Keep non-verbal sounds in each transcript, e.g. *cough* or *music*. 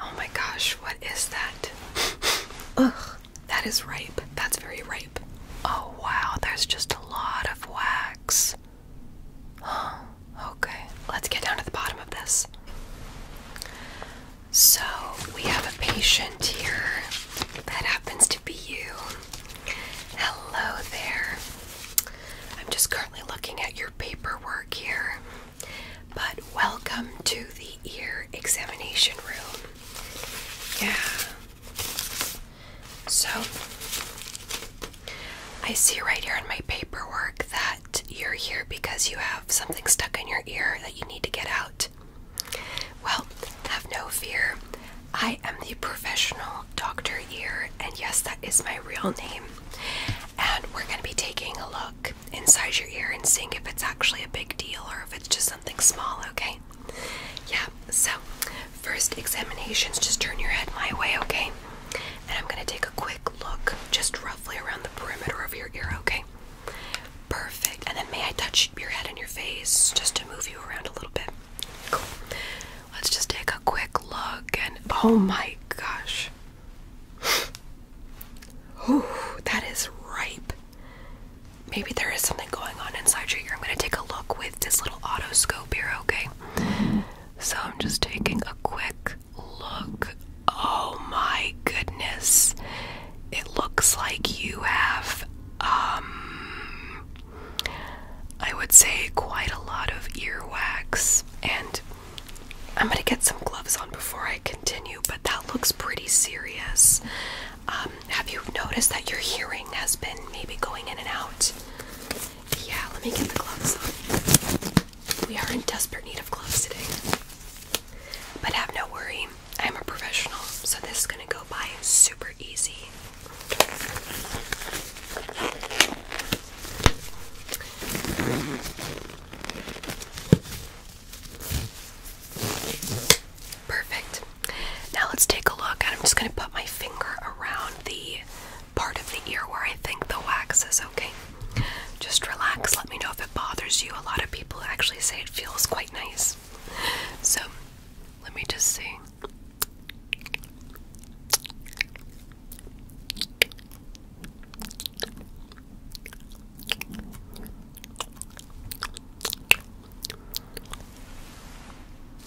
Oh my gosh, what is that? *laughs* Ugh, that is ripe. That's very ripe. Oh wow, there's just a lot of wax. okay, let's get down to the bottom of this. So, we have a patient here that happens to be you. Hello there. I'm just currently looking at your paperwork here. But welcome to the ear examination room. Yeah. So, I see right here in my paperwork that you're here because you have something stuck in your ear that you need to get out. Well, have no fear. I am the professional Dr. Ear, and yes, that is my real name. And we're going to be taking a look inside your ear and seeing if it's actually a big deal or if it's just something small, okay? Yeah, so first examinations, just turn your head my way, okay? And I'm gonna take a quick look just roughly around the perimeter of your ear, okay? Perfect. And then may I touch your head and your face just to move you around a little bit? Cool. Let's just take a quick look and oh my gosh. *sighs* Oh, that is ripe. Maybe there is something going on inside your ear. I'm going to take a look with this little auto here, okay? So I'm just taking a quick look. Oh my goodness. It looks like you have, um, I would say quite a lot of earwax and I'm gonna get some gloves on before I continue, but that looks pretty serious. Um, have you noticed that your hearing has been maybe going in and out? Yeah, let me get the gloves on. We are in desperate need of gloves today. But have no worry, I'm a professional, so this is gonna go by super easy. Perfect. Now let's take a look. and I'm just going to put my finger around the part of the ear where I think the wax is okay. Just relax. Let me know if it bothers you. A lot of people actually say it feels quite nice. So let me just see.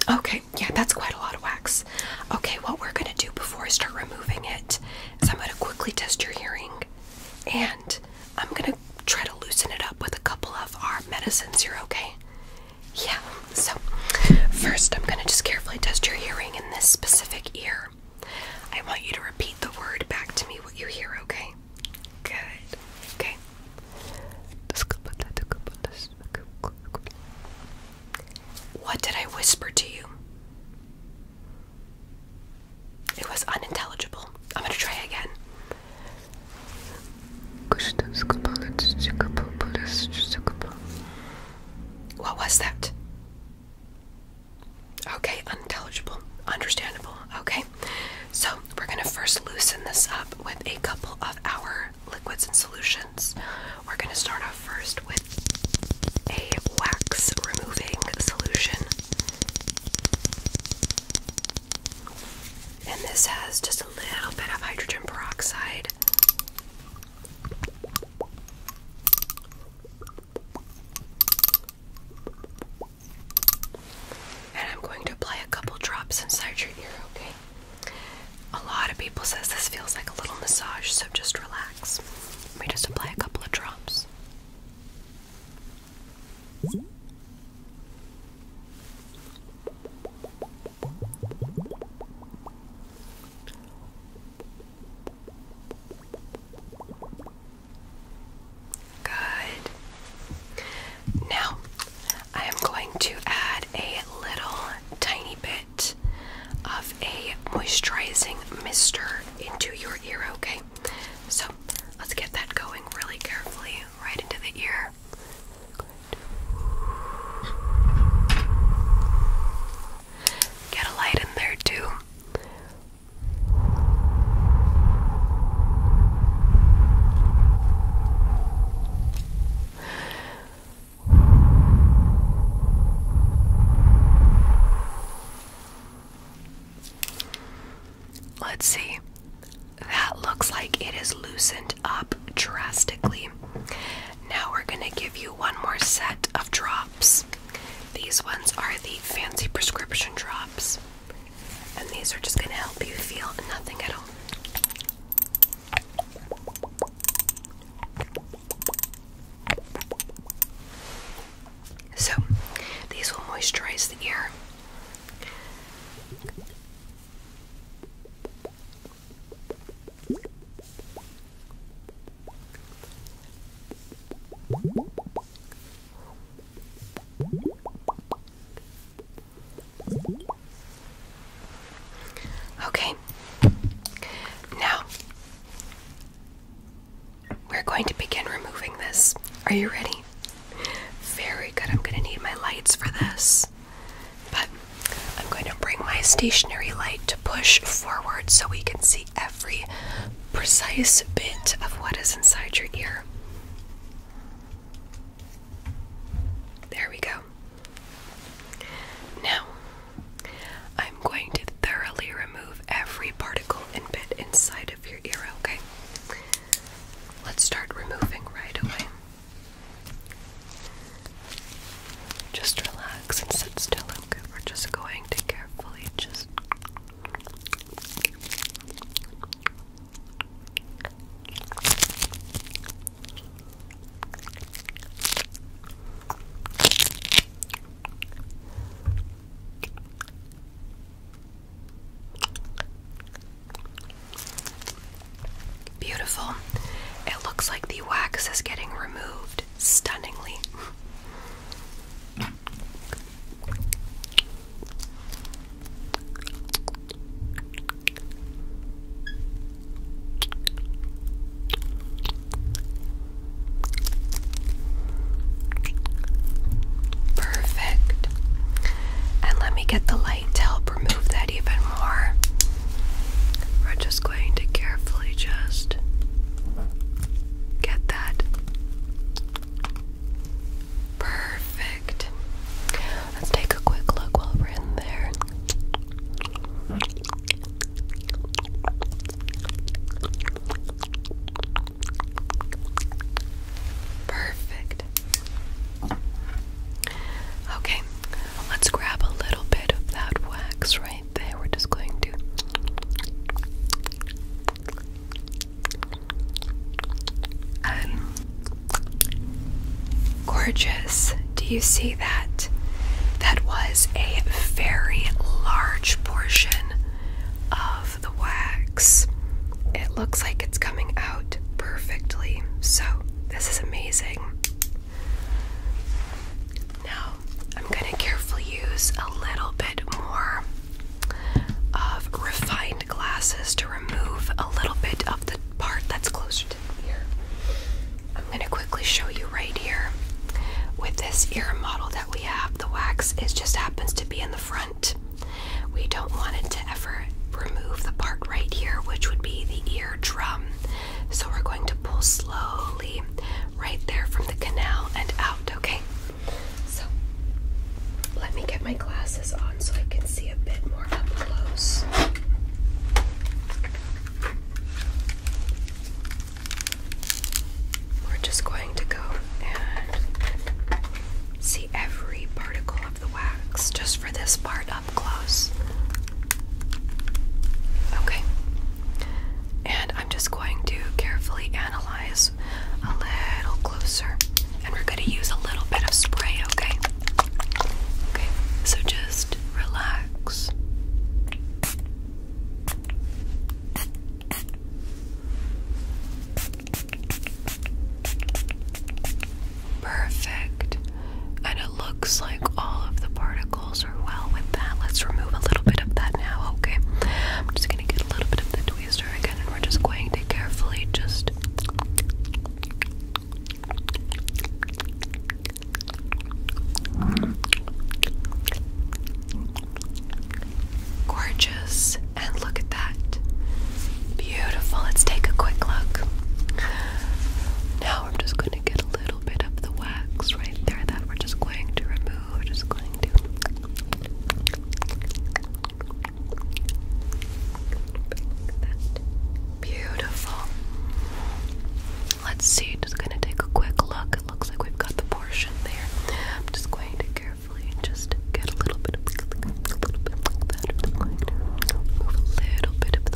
Okay, yeah, that's quite a lot of wax. Okay, what we're gonna do before I start removing it is I'm gonna quickly test your hearing and I'm gonna try to loosen it up with a couple of our medicines. You're okay? Yeah, so first I'm gonna just carefully test your hearing in this specific ear. I want you to repeat the word back to me what you hear, okay? Good. Okay. What did I whisper to you? It was unintelligible. I'm going to try again. What was that? Okay, unintelligible. Understandable. Okay, so we're going to first loosen this up with a couple of our liquids and solutions. We're going to start off first with a wax removing solution. And this has just a little bit of hydrogen peroxide. And I'm going to apply a couple drops inside your ear, okay? A lot of people says this feels like a little massage, so just relax. Let just apply a couple of drops. Good. Now, I am going to add a little tiny bit of a moisturizing mister into your ear, okay? So, let's get that going really carefully right into the ear. Get a light in there too. Let's see. That looks like it is loosened up drastically. Now we're going to give you one more set of drops. These ones are the fancy prescription drops, and these are just going to help you feel nothing at all. So, these will moisturize the ear. Okay, now we're going to begin removing this. Are you ready? Very good. I'm going to need my lights for this, but I'm going to bring my stationary light to push forward so we can see every precise bit of what is inside your ear. There we go. Now, I'm going to thoroughly remove every particle and bit inside of your ear, okay? Let's start removing right away. Just relax and sit still, we're just going to carefully just Beautiful. It looks like the wax is getting removed stunningly. *laughs* Perfect. And let me get the light to help remove that even more. We're just going to carefully just Get that? Perfect. Let's take a quick look while we're in there. Perfect. Okay, let's grab a little bit of that wax right right there. just going to um, gorgeous. Do you see that? That was a very large portion of the wax. It looks like it's coming out perfectly. So, this is amazing. Now, I'm going to carefully use a little bit more of refined glasses to remove a little bit of the part that's closer to the ear. I'm going to quickly show you right here. With this ear model that we have, the wax It just happens to be in the front. We don't want it to ever remove the part right here, which would be the eardrum. So we're going to pull slowly right there from the canal and out, okay? So let me get my glasses on so I can see a bit more up close. We're just going to go and see every particle of the wax just for this part up close. Okay, and I'm just going to carefully analyze a little closer. And we're going to use a little bit of spray, okay? Okay, so just relax. Perfect. And it looks like all of the particles well with that. Let's remove a little bit of that now, okay? I'm just gonna get a little bit of the tweezer again, and we're just going to carefully just. Gorgeous, and look at that. Beautiful. Let's take a quick look. Now I'm just going to get a little bit of the wax right there that we're just going to remove we're just going to Beautiful. Let's see, just gonna take a quick look. It looks like we've got the portion there. I'm just going to carefully just get a little bit of a little bit of the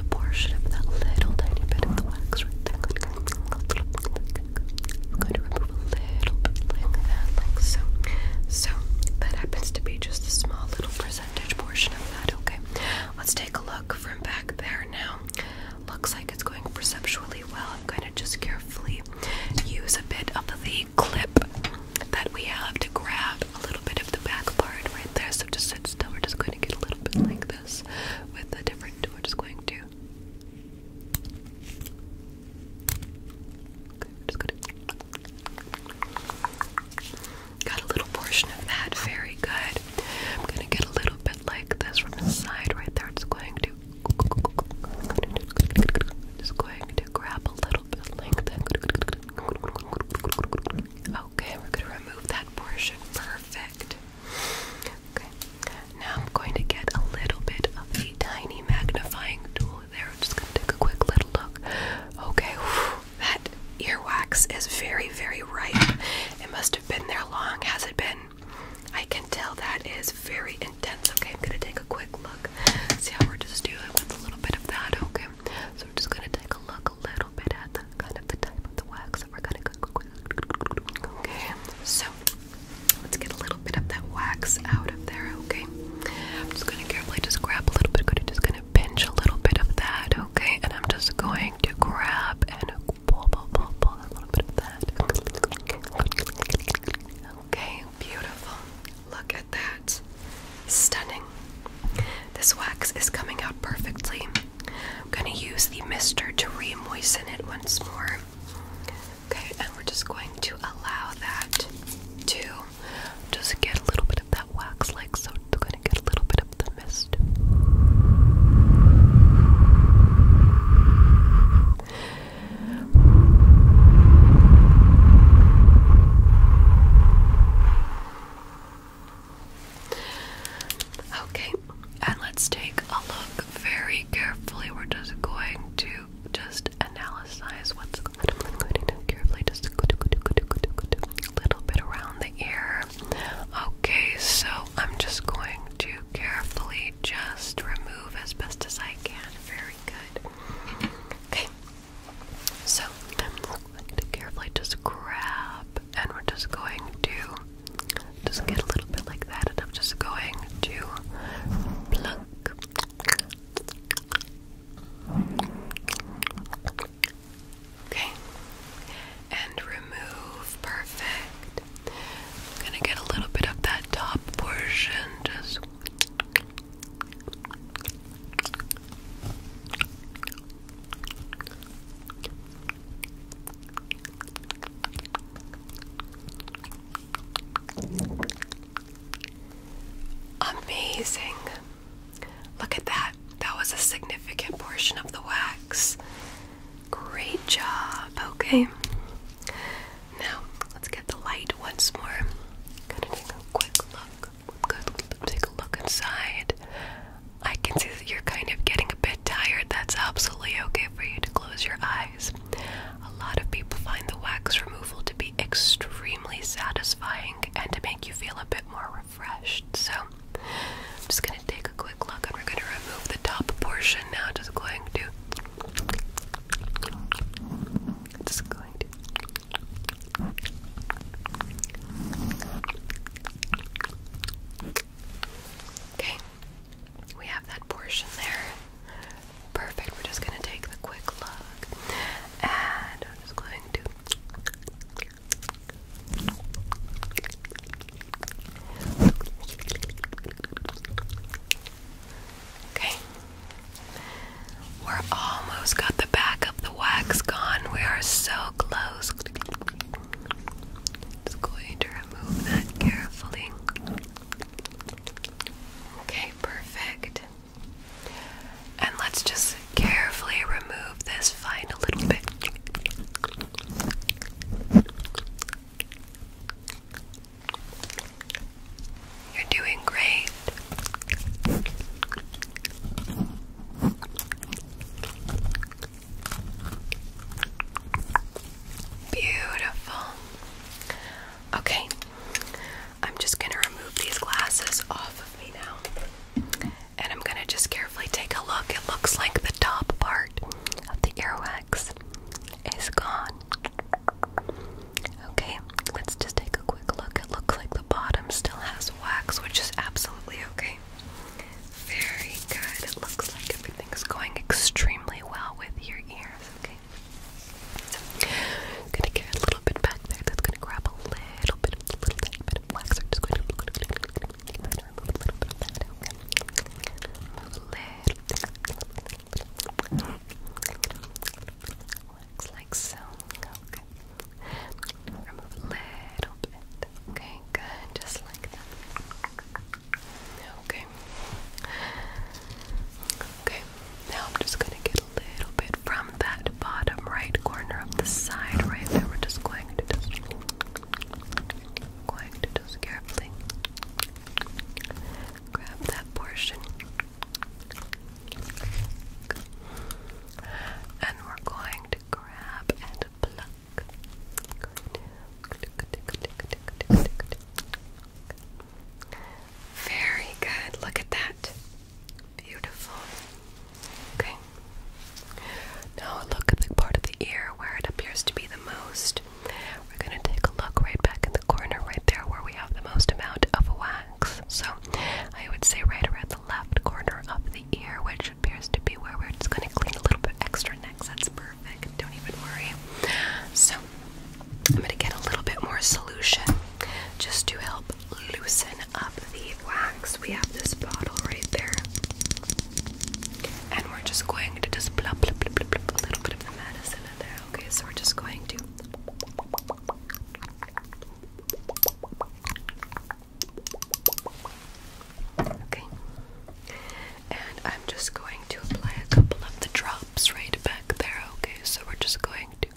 portion of that little tiny bit of the wax right there. I'm going to remove a little bit like that, like so. So that happens to be just a small little percentage portion of that, okay? Let's take a look from back there now. Looks like it's going perceptually well. I'm going to just carefully use a bit of the clip that we have to grab a little bit of the back part right there. So just sit still. We're just going to get a little bit like this with a different. We're just going to just going Got a little portion of that, very good. I'm gonna get a little bit like this from the side right there. It's going to just going to grab a little bit like that. Okay, we're gonna remove that portion. Perfect. Okay, now I'm going to get a little bit of the tiny magnifying tool there. I'm just going to take a quick little look. Okay, that earwax is very, very ripe. It must have been there long, has it been? I can tell that is very intense. Okay, I'm going to take a quick look. See how we're just doing with a little bit of that, okay? So I'm just going to take a look a little bit at the kind of the type of the wax we're going to go Okay, so let's get a little bit of that wax out of there, okay? I'm just gonna carefully just grab a little bit, I'm just gonna pinch a little bit of that, okay? And I'm just going to grab and pull, pull, pull, pull a little bit of that. Okay, beautiful. Look at that. Stunning. This wax is coming out perfectly. I'm going to use the mister to remoisten it once more. Okay, and we're just going to allow that to just get a little bit of that wax like so. We're going to get a little bit of the mist. Okay, and let's take a look very carefully. We're just going to just analyze what's going on. carefully just a little bit around the ear. Okay, so I'm just going to carefully just remove as best as I can. Very good. Okay. So I'm going to carefully just grab and we're just going to just get a little bit like that, and I'm just going to pluck. Okay, and remove. Perfect. gonna get a little bit of that top portion, just. Amazing. Look at that. That was a significant portion of the wax. Great job. Okay. Now, let's get the light once more. Gotta take a quick look. Good. Take a look inside. I can see that you're kind of getting a bit tired. That's absolutely okay for you to close your eyes. A lot of people find the wax removal to be extremely satisfying and to make you feel a bit more refreshed. So, I'm just going to take a quick look and we're going to remove the top portion now. Just going to. Just going to. Okay, we have that portion there. Perfect. We're just gonna take the quick look, and I'm just going to. Okay. We're almost got the back of the wax gone. We are so close. Just going to remove that carefully. Okay, perfect. And let's just carefully remove this fine a little bit. You're doing great. Beautiful. Okay, I'm just gonna remove these glasses off of me now. And I'm gonna just carefully take a look. It looks like the top part of the ear wax is gone. Okay, let's just take a quick look. It looks like the bottom still has wax, which is absolutely okay. Very good. It looks like everything is going extremely well with your ears, okay? So, I'm gonna get a little bit back there. That's gonna grab a little bit, a little tiny bit of wax. I'm just going to, going to, going to, going to, going a little bit of wax like so. Remove a little bit. Okay, good. Just like that. Okay. Okay. Now I'm just gonna get a little bit from that bottom right corner of the side right there. We're just going to just going to just carefully grab that portion. And we're going to grab and pluck. Very good. Look at that. Beautiful. Okay. Now look at the part of the ear where it appears to be the most. We're going to take a look right back in the corner right there where we have the most amount of wax. So I would say right around the left corner of the ear, which appears to be where we're just going to clean a little bit extra next. That's perfect perfect. Don't even worry. So, I'm going to get a little bit more solution just to help loosen up the wax. We have this bottle right there. And we're just going to just plop, plop, plop, plop, plop a little bit of the medicine in there. Okay, so we're just going to. Okay and I'm just going to apply a couple of the drops right back there. Okay, so we're just going to.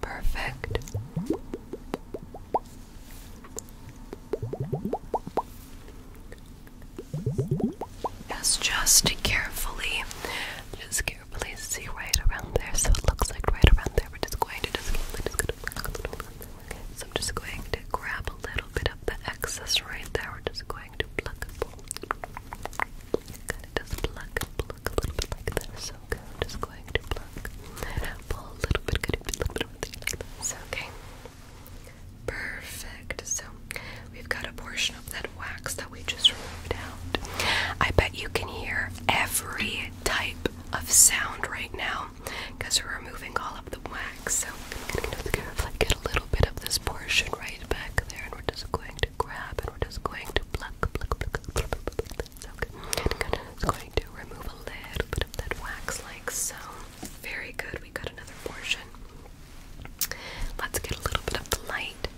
Perfect. Yes, just carefully, just place. See right around there. So it looks like right around there. We're just going to just, we're just So I'm just going to grab a little bit of the excess right there. We're just going to pluck pluck, a little bit like this. So just going to pluck, pull a little bit, a little bit of everything like this. Okay. Perfect. So We've got a portion of that wax that we just removed out. I bet you can hear every type of sound right now because we're removing all of the wax. So I'm going to get a little bit of this portion right back there and we're just going to grab and we're just going to pluck, pluck, pluck, pluck, pluck. Okay. I'm just going to remove a little bit of that wax like so. Very good. We got another portion. Let's get a little bit of the light,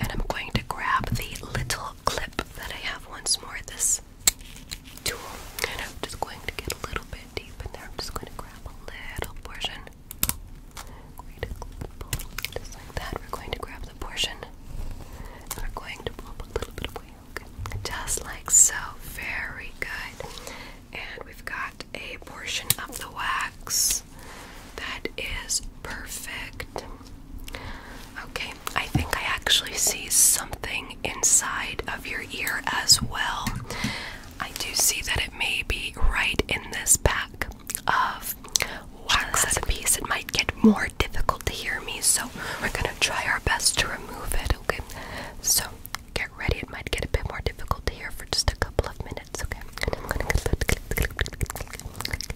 and I'm going to grab the little clip that I have once more. This tool, and I'm just going to get a little bit deep in there. I'm just going to grab a little portion. Going that. We're going to grab the portion, and we're going to pull a little bit away. Okay, just like so. Very good. And we've got a portion of the wax that is perfect. Okay, I think I actually see something inside of your ear as well. I do see that it may be right in this back of wax at a piece. It might get more difficult to hear me, so we're gonna try our best to remove it, okay? So get ready, it might get a bit more difficult to hear for just a couple of minutes, okay? And I'm gonna clip, clip, clip, clip, clip,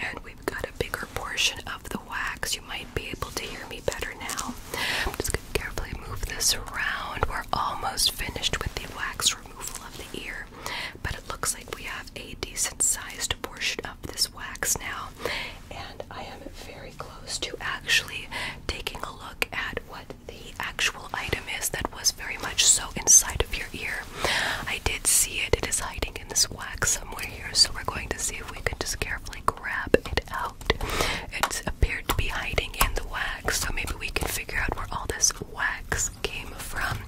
And we've got a bigger portion of the wax. You might be able to hear me better now. I'm just going to carefully move this around. We're almost finished with the wax removal of the ear, but it looks like we have a decent sized portion of this wax now, and I am very close to actually taking a look at what the actual item is that was very much so inside of your ear. I did see it, it is hiding in this wax somewhere here, so we're going to see if we can just carefully grab it out out. It appeared to be hiding in the wax, so maybe we can figure out where all this wax came from.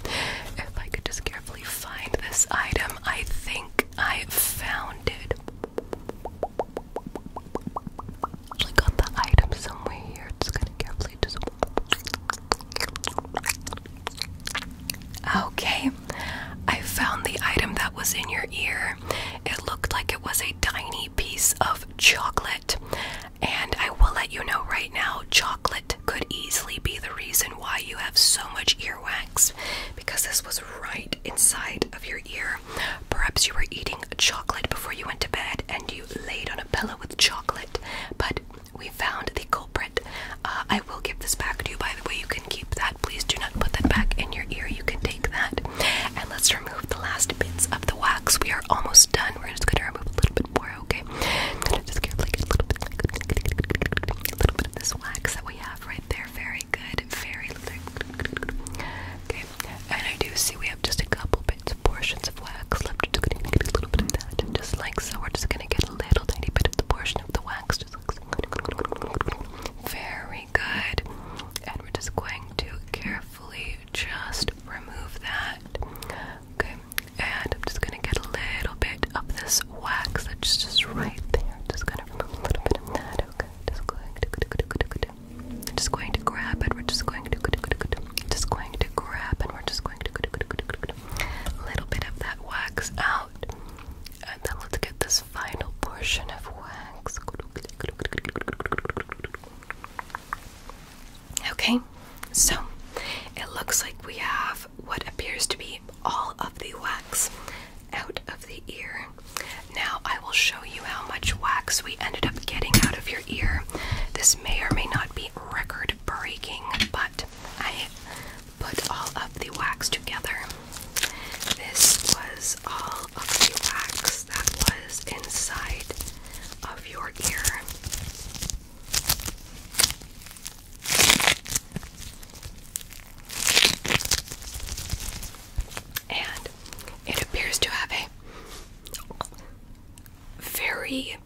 If I could just carefully find this item, I think I found it. Actually, got the item somewhere here. Just gonna carefully just. Okay, I found the item that was in your ear. It looked like it was a tiny piece of chocolate. And I will let you know right now, chocolate could easily be the reason why you have so much earwax because this was right inside of your ear. Perhaps you were eating chocolate before you went to bed and you laid on a pillow with chocolate, but we found the culprit. Uh, I will give this back to you, by the way. You can keep that. Please do not put that back in your ear. You can take that and let's remove the last bits of the wax. We are almost done. We're just gonna remove a little bit more, okay? I'm gonna just get like a little bit, like, a little bit of this wax that we have right there. Very good, very good. Okay, and I do see we have just a couple bits, portions of wax left. We're just gonna get a little bit of that, and just like so. We're just gonna get a little tiny bit of the portion of the wax, just like so. Very good, and we're just going to carefully, just remove that. Okay, and I'm just gonna get a little bit of this wax that's just right there. Just gonna remove a little bit of that. Okay, just going just going to grab it. We're just going just going to grab and we're just going a little bit of that wax out, and then let's get this final portion of wax. Okay, so it looks like we have what appears to be all of the wax out of the ear. Now, I will show you how much wax we ended up getting out of your ear. This may or may not be record breaking, but I put all of the wax together. This was all of the wax that was inside of your ear. And it appears to have a very,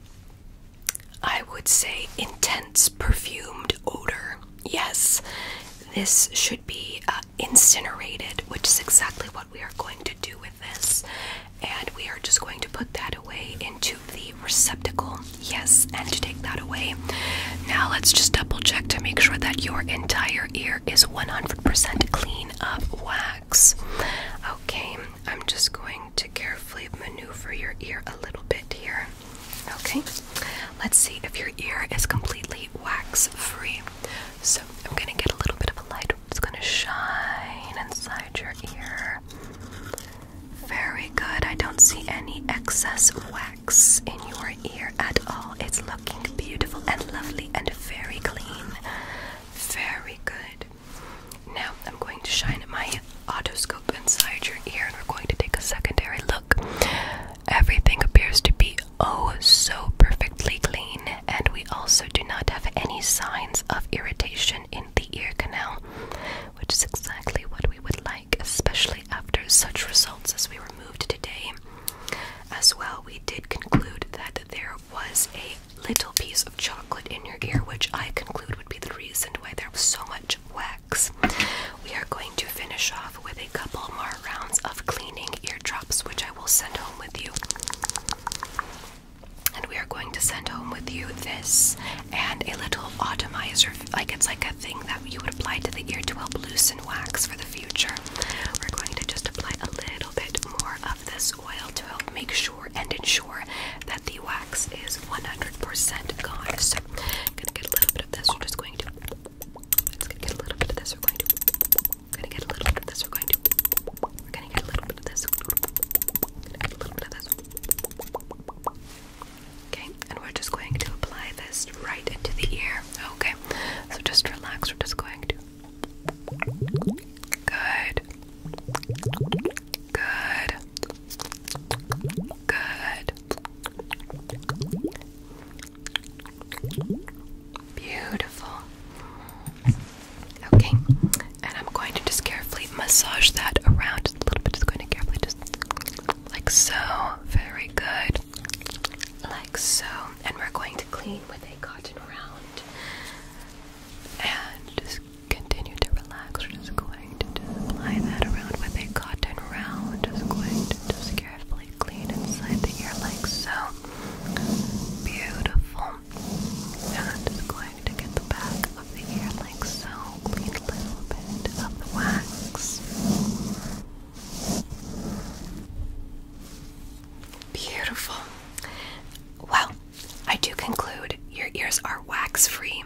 I would say, intense perfumed odor. Yes, this should be uh, incinerated, which is exactly what we are going to do with this. And we are just going to put that away into the receptacle. Yes, and to take that away. Now let's just double check to make sure that your entire ear is 100% clean of wax. Okay, I'm just going to carefully maneuver your ear a little bit here. Okay, let's see if your ear is completely wax free. So I'm gonna get a little bit of a light. It's gonna shine inside your ear. Very good. I don't see any excess wax in your ear at all. It's looking beautiful and lovely and very clean. Very good. Now I'm going to shine my otoscope inside your ear and we're going to take a secondary look. Everything appears to be oh so perfectly clean, and we also do not have any signs of irritation in the ear canal, which is exactly what we would like, especially after such results as we removed today. As well, we did conclude that there was a little piece of chocolate in your ear, which I conclude would be the reason why there was so much wax. We are going to finish off with a couple more rounds of cleaning eardrops, which I we will send home with you. And we are going to send home with you this and a little automizer. like it's like a thing that you would apply to the ear to help loosen wax for the future. We're going to just apply a little bit more of this oil to help make sure and ensure that the wax is 100% gone. So, I'm gonna get a little bit of this. We're just going to. get a little bit of this. We're going to we're gonna get a little bit of this. We're going to. We're gonna get a little bit of this. We're gonna get a little bit of this. Okay, and we're just going to apply this right into the ear. Okay, so just relax. We're just going to. Good. Good. Good. Beautiful. Okay, and I'm going to just carefully massage that around a little bit. Just going to carefully, just like so. Very good. Like so. And we're going to clean with a cotton round. And just continue to relax. We're just going to just apply that around with a cotton round. Just going to just carefully clean inside the ear like so. Beautiful. And i going to get the back of the ear like so. Clean a little bit of the wax. Beautiful. Well, I do conclude your ears are wax free.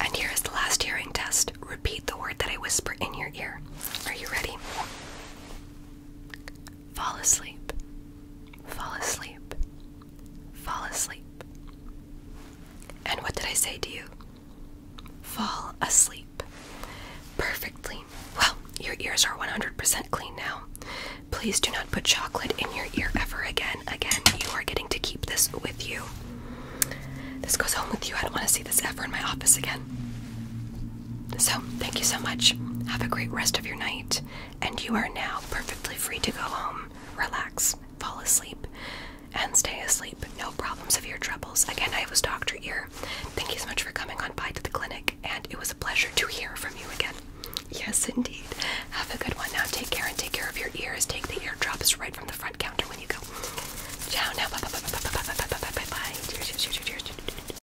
And here is the last hearing test. Repeat the word that I whisper in your ear. Are you ready? Fall asleep. Fall asleep. Fall asleep. And what did I say to you? Fall asleep. Perfectly. Well, your ears are 100% clean now. Please do not put chocolate in your ear ever again. Again, you are getting to keep this with you. This goes home with you. I don't want to see this ever in my office again. So, thank you so much. Have a great rest of your night, and you are now perfectly free to go home, relax, fall asleep, and stay asleep. No problems of your troubles. Again, I was Dr. Ear. Thank you so much for coming on by to the clinic, and it was a pleasure to hear from you again. Yes, indeed. Have a good one now. Take care and take care of your ears. Take the eardrops right from the front counter when you go. Ciao Bye bye bye bye bye bye bye bye bye bye.